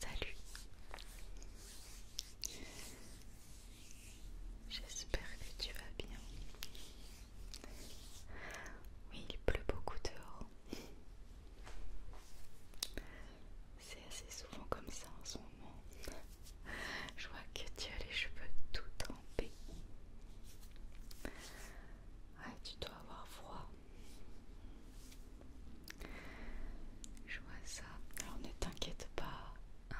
Salut J'espère que tu vas bien. Oui, il pleut beaucoup dehors. C'est assez souvent comme ça en ce moment. Je vois que tu as les cheveux tout trempés. Ouais, tu dois avoir froid. Je vois ça. Alors ne t'inquiète pas,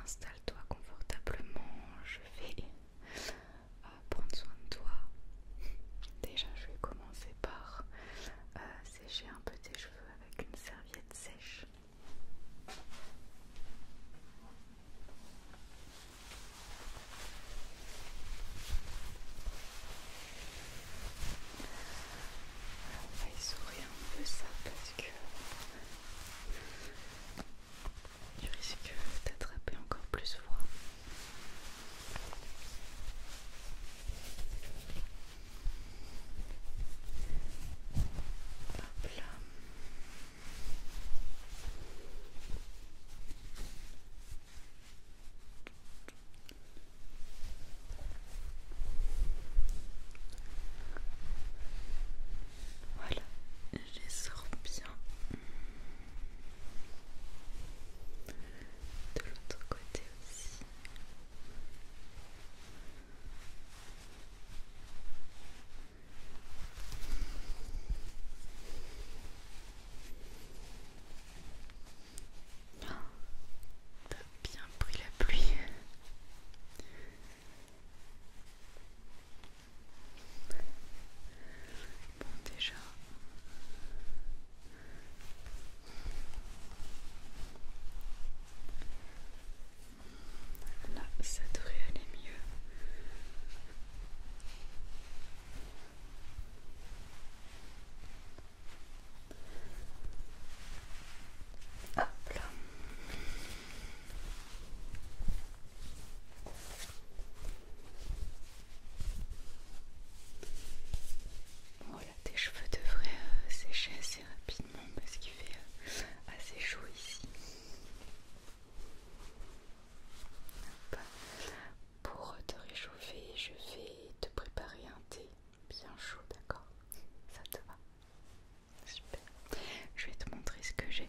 installe-toi confortablement. Je vais euh, prendre soin de toi. Déjà, je vais commencer par euh, sécher un peu tes cheveux avec une serviette sèche. Il va un peu ça parce que tu risques d'attraper encore plus froid. Voilà, je les sors bien de l'autre côté aussi t'as bien pris la pluie. Bon déjà. Là, ça devrait aller mieux. Voilà, tes cheveux devraient euh, sécher assez rapidement parce qu'il fait euh, assez chaud ici. Pour te réchauffer, je vais te préparer un thé bien chaud, d'accord Ça te va Super. Je vais te montrer ce que j'ai.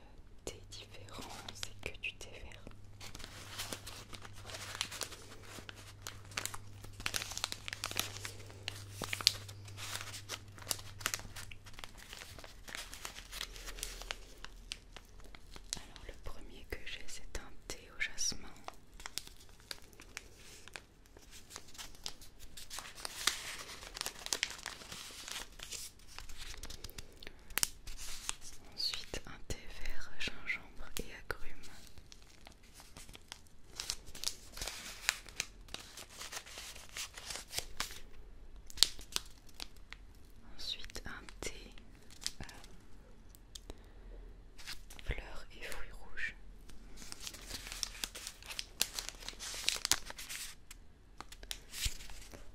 Des différents, c'est que du thé vert. Alors le premier que j'ai c'est un thé au jasmin. Ensuite, un thé vert, gingembre et agrumes. Ensuite, un thé euh, fleurs et fruits rouges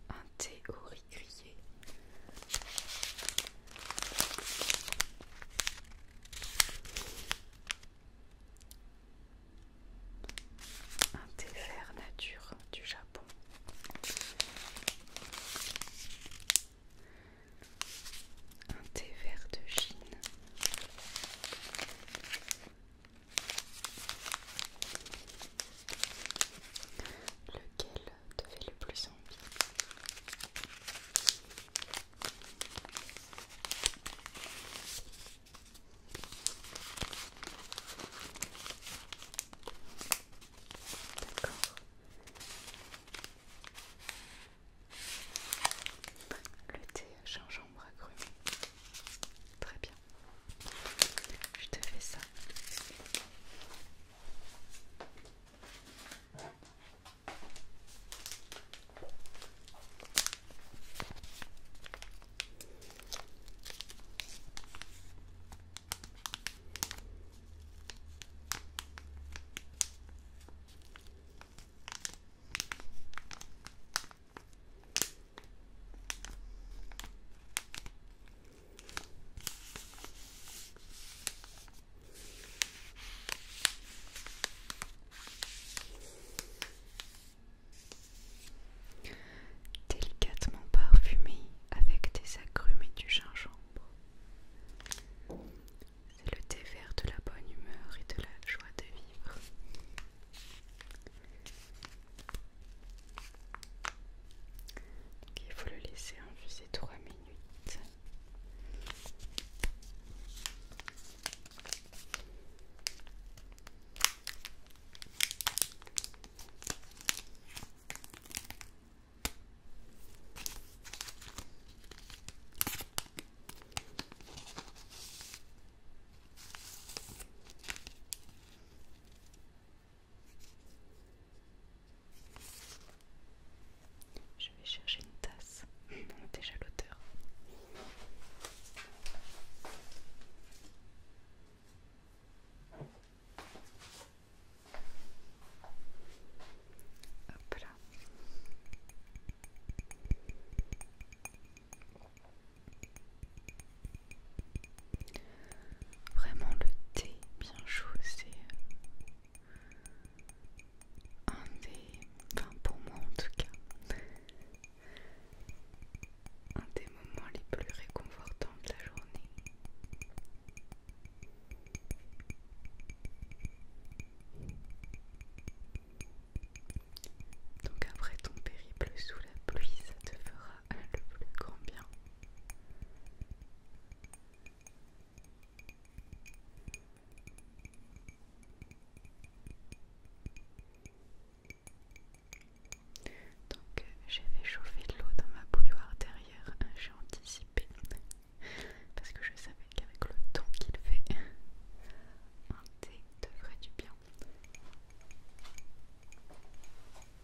un thé au riz grillé. Un thé vert nature du Japon. Un thé vert de Chine. Lequel te fait le plus envie D'accord. Le thé gingembre cru. Très bien. Je te fais ça. Délicatement parfumé avec des agrumes et du gingembre. C'est le thé vert de la bonne humeur et de la joie de vivre il faut le laisser infuser trois minutes. Je vais chercher une tasse. Déjà l'auteur. Hop là. Vraiment le thé bien chaud, c'est euh, un des, enfin pour moi en tout cas, un des moments les plus réconfortants de la journée. Donc après ton périple sous la pluie, ça te fera le plus grand bien. Donc j'ai fait chauffer de l'eau dans ma bouilloire derrière, hein, j'ai anticipé parce que je savais qu'avec le temps qu'il fait, un thé devrait du bien.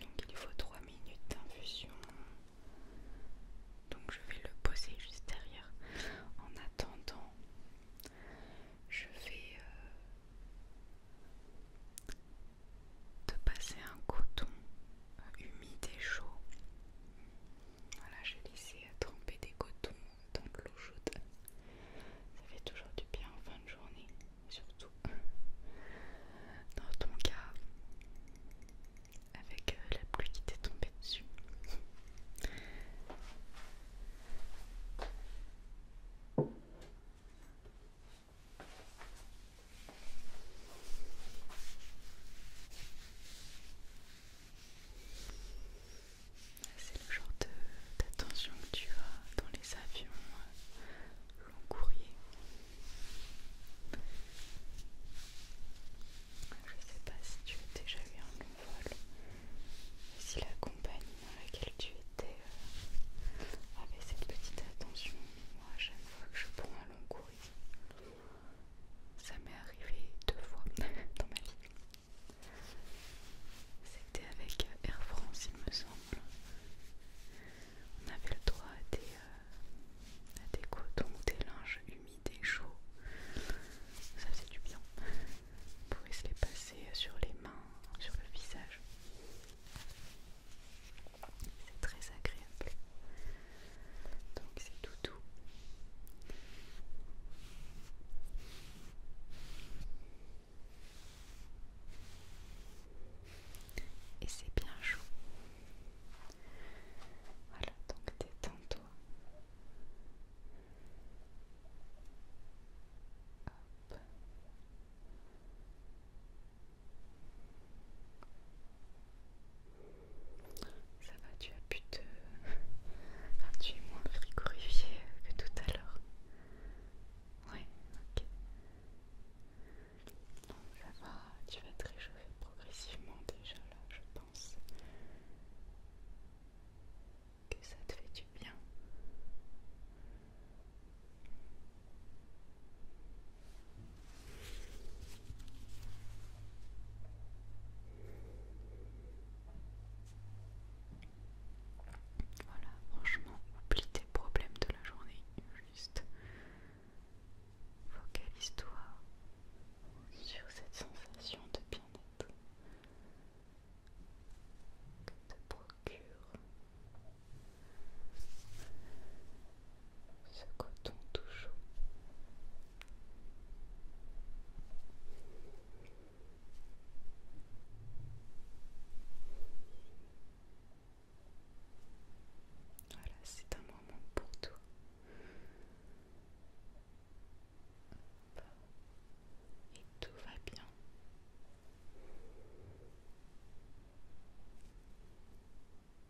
Donc il faut 3 minutes d'infusion. Donc je vais le poser juste derrière. En attendant, je vais euh, de passer un coton euh, humide et chaud. Voilà, j'ai laissé euh, tremper des cotons dans de l'eau chaude. Ça fait toujours du bien en fin de journée, surtout dans ton cas avec euh, la pluie qui t'est tombée dessus. C'est le genre d'attention que tu as dans les avions long euh, courrier. Je sais pas si tu as déjà eu un long vol, si la compagnie dans laquelle tu étais euh, avait cette petite attention, moi à chaque fois que je prends un long courrier, ça m'est arrivé deux fois dans ma vie. C'était avec euh, Air France, il me semble. On avait le droit à des, euh, à des cotons, des linges humides et chauds. Ça faisait du bien. On pouvait se les passer euh, sur les mains, sur le visage. C'est très agréable. Donc c'est tout doux. Et c'est bien chaud. Voilà, donc détends-toi. Ça va, tu as pu te... Enfin, tu es moins frigorifié que tout à l'heure. Ouais, ok. ça va, tu vas te réchauffer progressivement déjà là, je pense. Que ça te fait du bien. Voilà, franchement, oublie tes problèmes de la journée, juste focalise-toi sur cette sensation de bien-être que te procure ce coton tout chaud. Voilà, c'est un moment pour toi. Et tout va bien.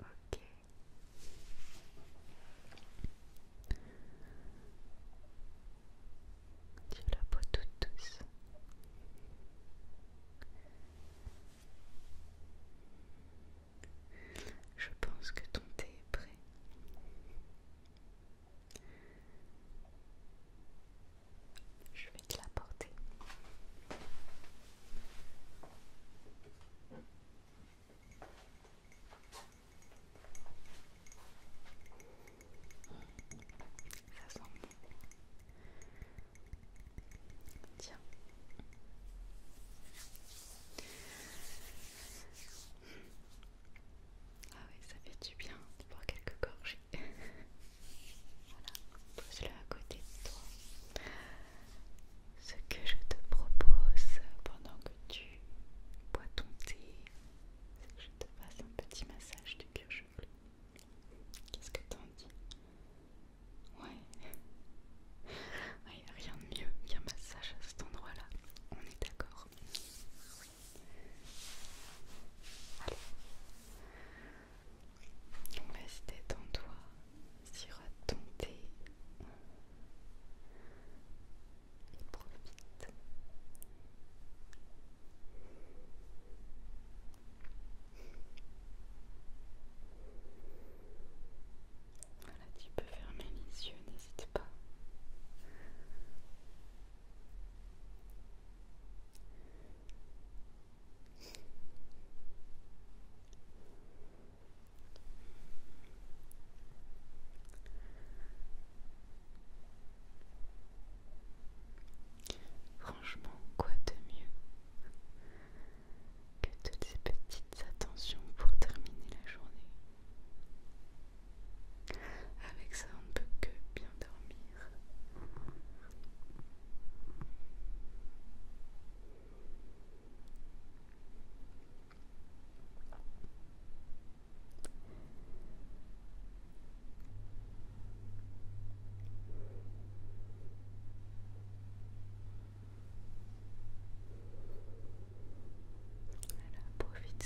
Ok. Tu la peau toute douce. Je pense que ton thé est prêt. Je vais te l'apporter. Ça sent bon. Tiens. Ah oui, ça fait du bien de boire quelques gorgées. voilà, pose-le à côté de toi. Ce que je te propose pendant que tu bois ton thé, c'est que je te fasse un petit massage du cuir chevelu. Qu'est-ce que t'en dis Ouais, il ouais, n'y rien de mieux qu'un massage à cet endroit-là. On est d'accord. Allez. Donc en toi sirote ton thé profite. Voilà, tu peux fermer les yeux, n'hésite pas. Franchement, quoi de mieux que toutes ces petites attentions pour terminer la journée avec ça, on ne peut que bien dormir. Voilà,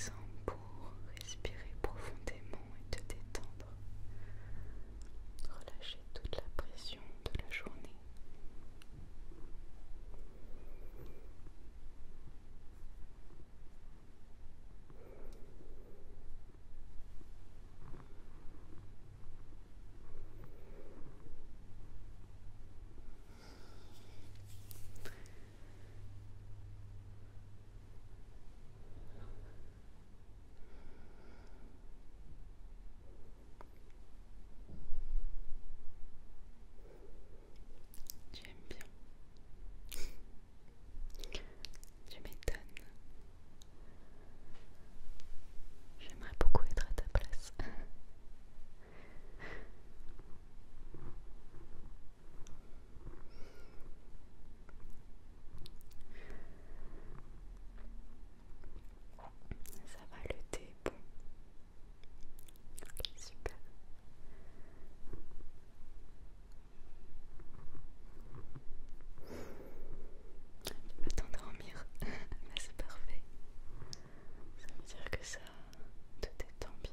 en pour respirer profondément et détendre. Relâcher toute la pression de la journée. Tu aimes bien. Tu m'étonnes. J'aimerais beaucoup être à ta place. Ça va le bon. Ok, super. Tu dormir. Mais c'est parfait. Ça veut dire que ça te détend bien.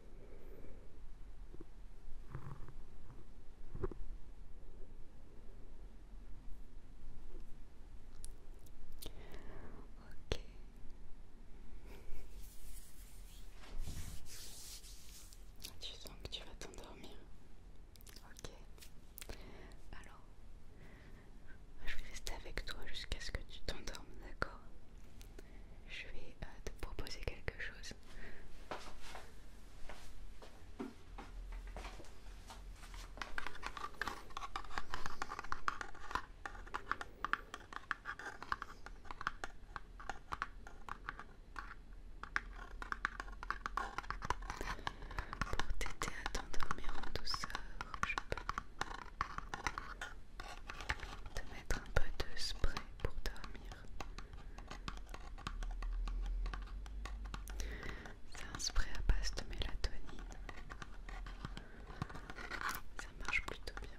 Ok. Tu sens que tu vas t'endormir. Ok. Alors, je vais rester avec toi jusqu'à ce que tu t'endormes, d'accord je vais euh, te proposer quelque chose. Pour t'aider à t'endormir en douceur, je peux te mettre un peu de spray pour dormir. C'est un spray à base de mélatonine. Ça marche plutôt bien.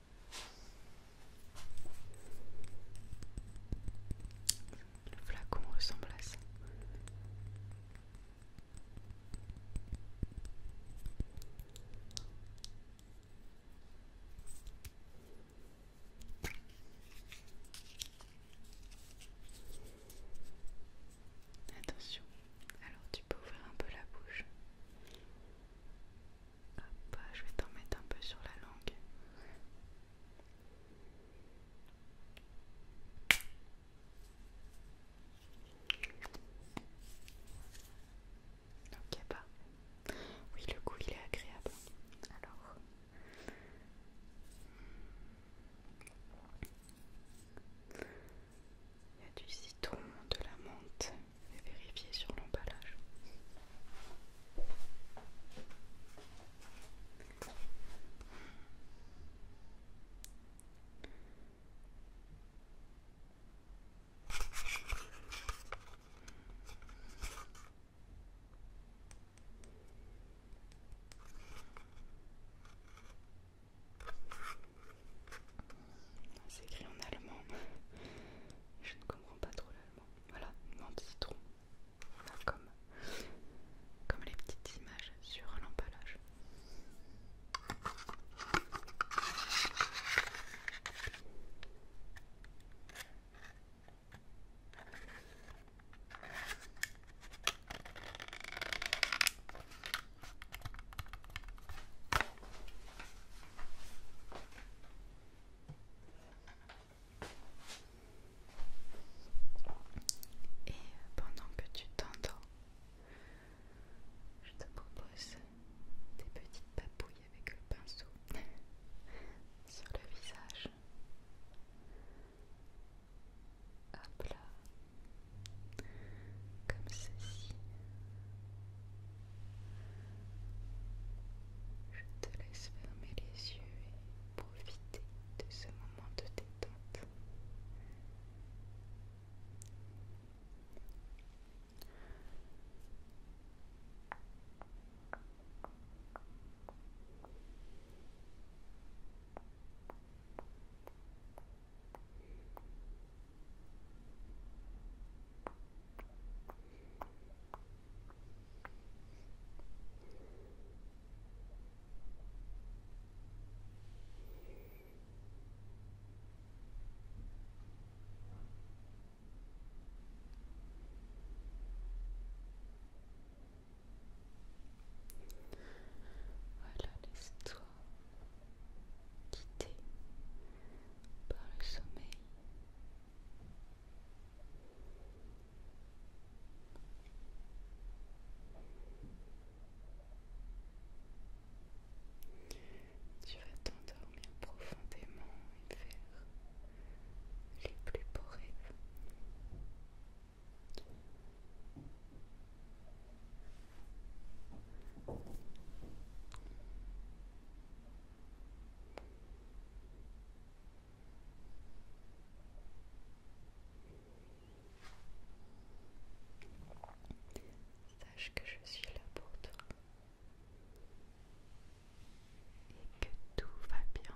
Le flacon ressemble à ça. Attention, alors tu peux ouvrir un peu la bouche je vais t'en mettre un peu sur la langue. Ok, bah. Oui, le goût il est agréable. Alors. Il y a du citron, de la menthe, vérifier sur l'emballage. C'est écrit en allemand. Je ne comprends pas trop l'allemand. Voilà, non citron. comme, comme les petites images sur l'emballage. Et pendant que tu t'endors, je te propose des petites papouilles avec le pinceau sur le visage. Hop comme ceci. Je te laisse fermer les yeux et profiter de ce moment de détente. Voilà, l'histoire quitté par le sommeil. Tu vas t'endormir profondément et faire les plus beaux rêves. Sache que je suis là pour toi et que tout va bien.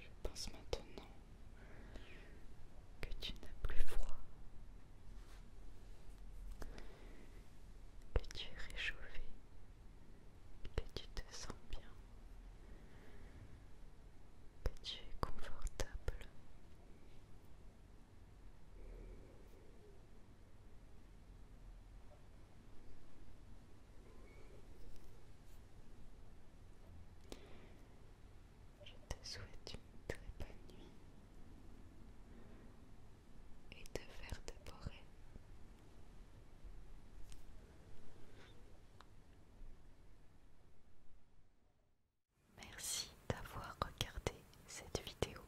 Je pense maintenant que tu n'as plus froid, que tu es réchauffé que tu te sens bien, que tu es confortable. Je te souhaite une très bonne nuit et de faire déborder. Merci d'avoir regardé cette vidéo.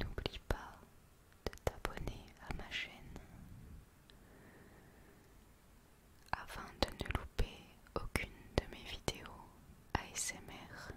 N'oublie pas de t'abonner à ma chaîne avant de ne louper aucune de mes vidéos ASMR.